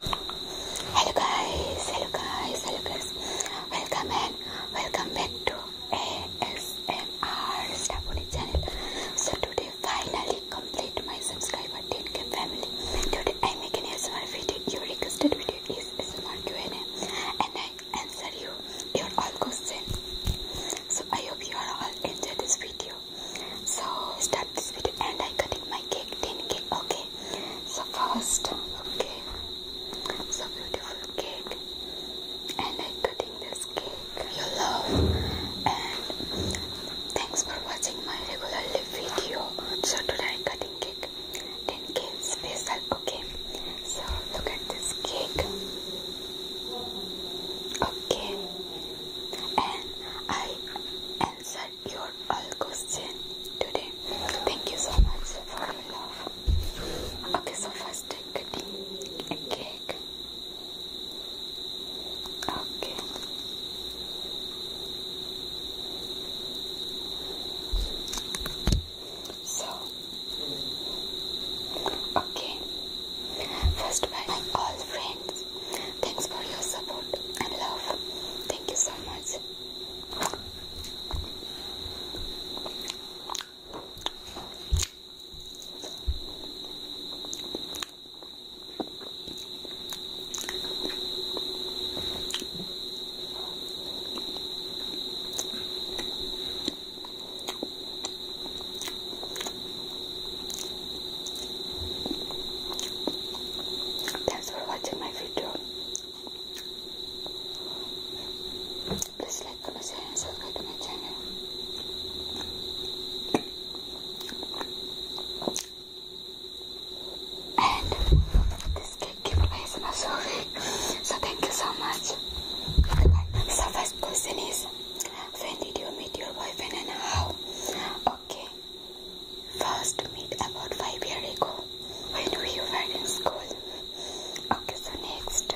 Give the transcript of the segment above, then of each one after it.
Hello guys, hello guys, hello guys. Welcome and welcome back to ASMR on Staponi channel. So today finally complete my subscriber 10k family. Today I make an ASMR video. Your requested video is ASMR Q&A and I answer you your all questions. So I hope you are all enjoy this video. So start this video and I cutting my cake 10k. Okay okay so first okay so beautiful cake and i cutting this cake you love and thanks for watching my regular live video so today i cutting cake 10k special cake. so look at this cake okay and I answered your all today. Thank you so much for your love. Okay, so first take cutting cake. Okay. So okay. First by all friends Thanks for your support and love. Thank you so much. Thanks for watching my video. Please like, and subscribe to my channel. And this cake giveaway is my sorry. So thank you so much. Goodbye. So first question is when did you meet your boyfriend and how? Okay first meet about five years ago when we were in school. Okay, so next.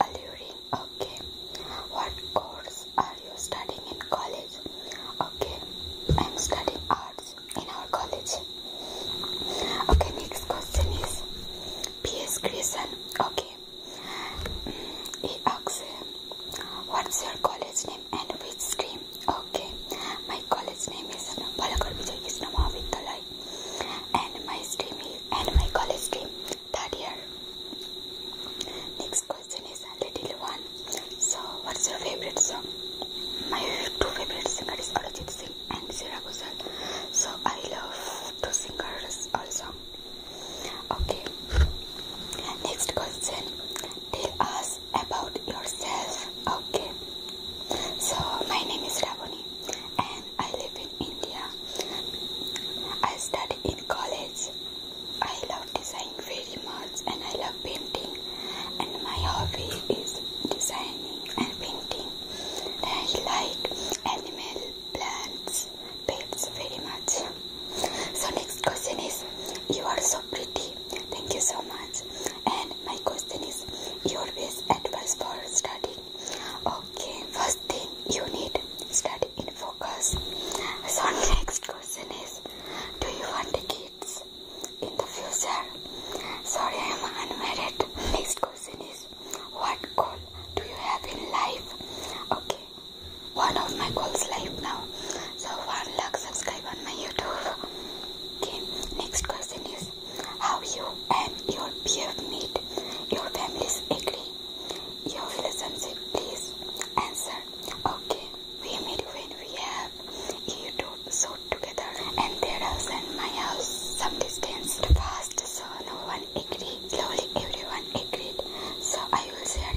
Alluring. Okay. What course are you studying in college? Okay. I'm studying arts in our college. Okay, next question is P.S. Grayson. Okay. He mm, asks, What's your college name? name and which stream? Okay, my college name is Balakar Vijay Krishna Mahavidyalaya and my stream is and my college stream third year. Next question is little one. So, what's your favorite song? My two favorite singers are Arjit Singh and Sarah Ghosal. So, I love two singers also. Okay. Next question. Tell us about yourself. Okay. So my name is Ravani and I live in India. I study in college. I love designing very much and I love painting and my hobby is designing and painting. And I like animal plants much, babes, very much. So next question is, you are so pretty. Thank you so much. And my question is, your best advice for studying. Okay, first thing you need study in focus. So next question is, do you want kids in the future? Sorry, I am unmarried. Next question is, what goal do you have in life? Okay one of my goals live now. So 1 lakh subscribe on my YouTube. Okay, next question is how you and your peer meet, your families agree, your relationship please answer. Okay, we meet when we have YouTube so together and their house and my house some distance fast so no one agreed. Slowly everyone agreed. So I will share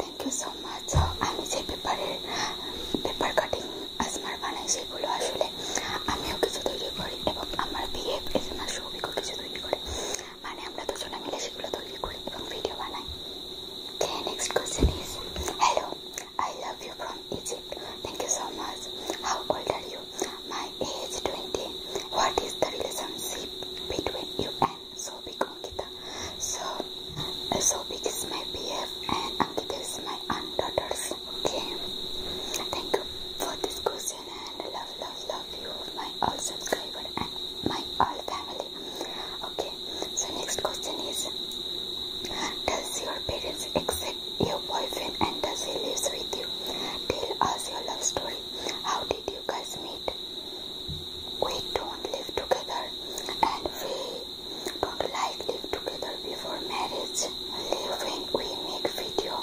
thank you so much I am পেপারের paper cutting ASMR বানাই সেগুলো আসলে আমিও কিছু তৈরি করি এবং আমার বিহেভ এস আমার সৌভিকও কিছু তৈরি করে মানে আমরা দুজনে মিলে সেগুলো তৈরি করি এবং ভিডিও বানাই Okay, next question is Hello, I love you from Egypt. Thank you so much. How old are you? My age 20. What is the relationship between you and Sobik? So, uh, So, Sobik is my BF and Ankita is my aunt daughters. Okay. Thank you for this question and love, love, love you, my all subscribers and my all family. Okay. So next question is, does your parents accept your boyfriend and does he lives with you? Tell us your love story. How did you guys meet? We don't live together and we do like live together before marriage live when we make video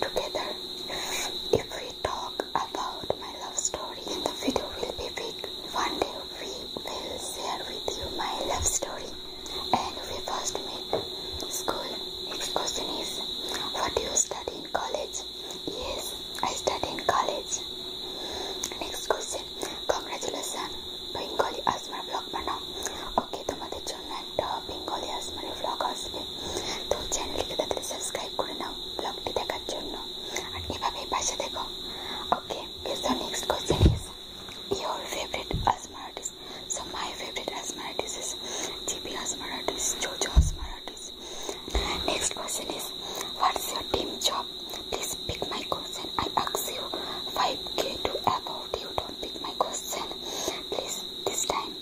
together if we talk about my love story then the video will be big one day we will share with you my love story and we first met school next question is what do you study in college yes i study in college next question আছে congratulation Bengali ASMR blog বানাও okay তোমাদের জন্য একটা Bengali আসমারের blog আসবে তো চ্যানেলটিকে তাড়াতাড়ি subscribe করে নাও ব্লগটি দেখার জন্য আর এভাবেই পাশে দেখো okay the next question is your favourite ASMR artist so my favourite ASMR artist is Gibi ASMR artist JoJo ASMR artist next question is what's your dream job Please pick my question. I ask you 5k to about. You don't pick my question. Please, this time.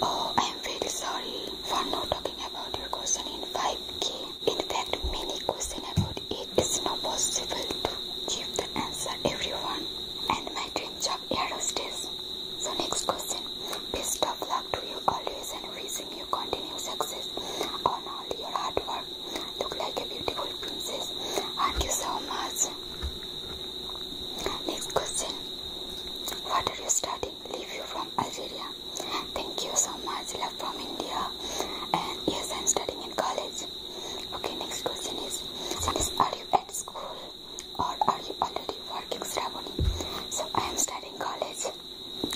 Oh, I am very sorry for not talking about your question in 5k. In fact, many question about It's not possible to give the answer everyone. And my dream job aerostess. So next question. Best of luck to you always celebrating your continued success on all your hard work. Look like a beautiful princess. Thank you so much. Next question. What are you studying? Leave you from Algeria. Thank you so much. Love from India. And yes, I'm studying in college. Okay, next question is, are you at school or are you already working, Sravani? So I am studying college.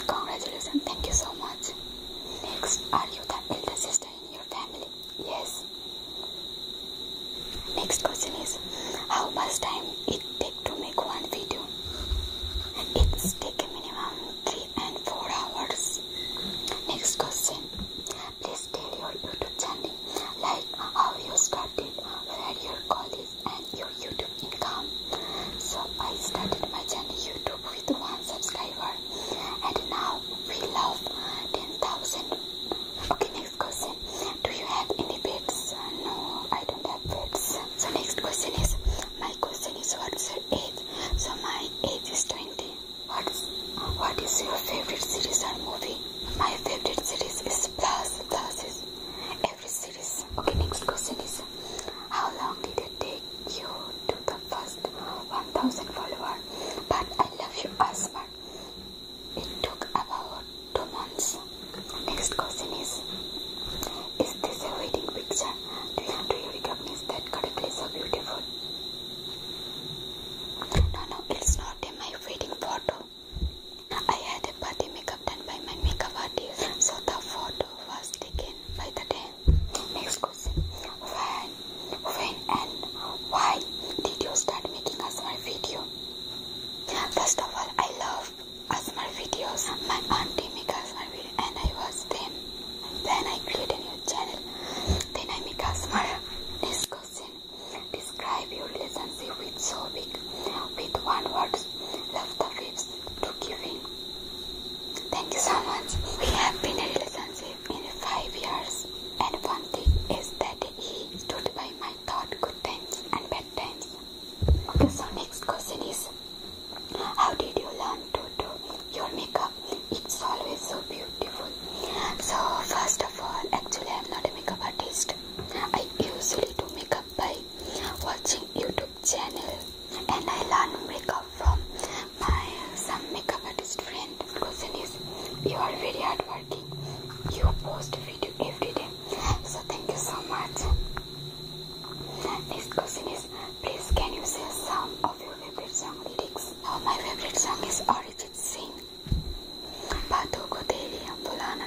Congratulations, thank you so much. Next, are you the elder sister in your family? Yes. Next question is, how much time it take to make one video? It's take minimum 3 and 4 hours. Next question, please tell your YouTube channel like how you started, where your college and your YouTube income. So I started my channel YouTube with one subscriber and now we love 10,000. Okay, next question. Do you have any pets? No, I don't have pets. So next question is, my question is what's your age? So my age is 20. What's, what is your favorite series or movie? My favorite series is Plus. Plus Okay, next question is how long did it take you to the first 1000 follower? But I love you, Asma. It took about two months. Next question is Is this a wedding picture? Do you, do you recognize that correctly? are beautiful. No, no, it's not in my wedding photo. I had a party makeup done by my makeup artist, so the photo photo was taken by the dam. Next question. When, when and why did you start making Asmar video? First of all, I love Asmar videos. My auntie make Asmar video and I watch them. Then I created a new channel. Then I make Asmar. Next question. Describe your relationship with so big with one word. Love the waves to giving. Thank you so much. We have been in a relationship in five years, and one thing is that he stood by my thought good times and bad times. Okay, so next question is How did you learn to do your makeup? It's always so beautiful. So, first of all, actually, I'm not a makeup artist. I usually do makeup by watching YouTube channel and I learn makeup from my some makeup artist friend. Question you are very hardworking. You post video every day. So thank you so much. Next question is, please can you say some of your favorite song lyrics? Oh, my favorite song is Arijit Singh. Baaton ko teri hum bhula na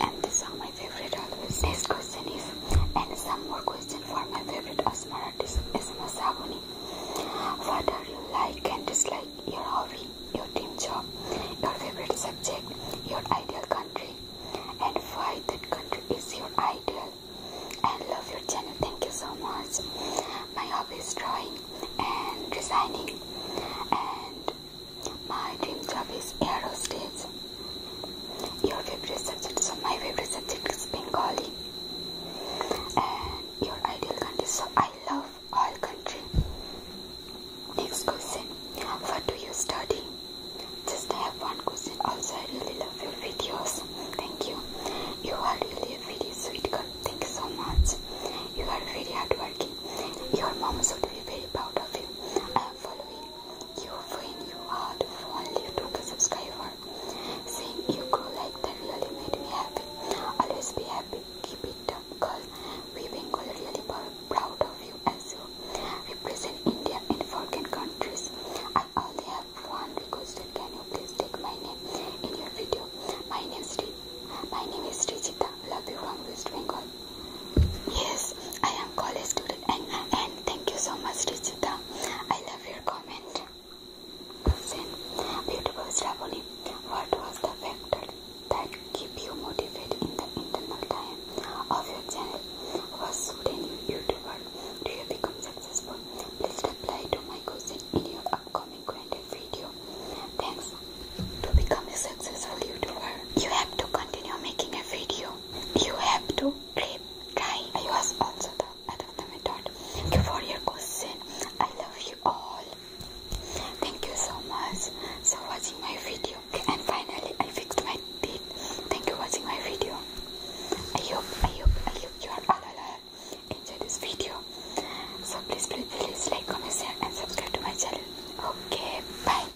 and this song my favorite always. Next question is, and some more questions for my favorite asthma artist, Esma Sabuni. What are you like and dislike? Your hobby, your dream job, your favorite subject, your ideal country, and why that country is your ideal. I love your channel. Thank you so much. My hobby is drawing and designing, and my dream job is aerospace. Your favorite subject, so my favorite subject is Bengali. And your ideal country, so I love all countries. Next question, what do you study? Just have one question, also I really love your videos. Thank you. You are really a very sweet girl. Thank you so much. You are very hardworking. Your mom should be very proud of you. I am following you when you are to only took a Seeing you grow like that really made me happy. Always be happy. Keep it up, girl. We Bengal really proud of you as you represent India in foreign countries. I only have one Can you please take my name in your video? My name is my name is Trijita. Love you from West Bengal. Yes, I am college student and, and thank you so much Richita. I love your comment. beautiful Shravani, what was the factor that keep you motivated in the internal time of your channel? Was shooting you YouTuber? Do you become successful? Please reply to my question in your upcoming granted video. Thanks. To become a successful YouTuber, you have to continue making a video you have to keep trying. I was also the other the method. Thank you for your question. I love you all. Thank you so much for watching my video. And finally, I fixed my teeth. Thank you for watching my video. I hope, I hope, I hope you are all alive. Enjoy this video. So please, please, please like, comment, share, and subscribe to my channel. Okay, bye.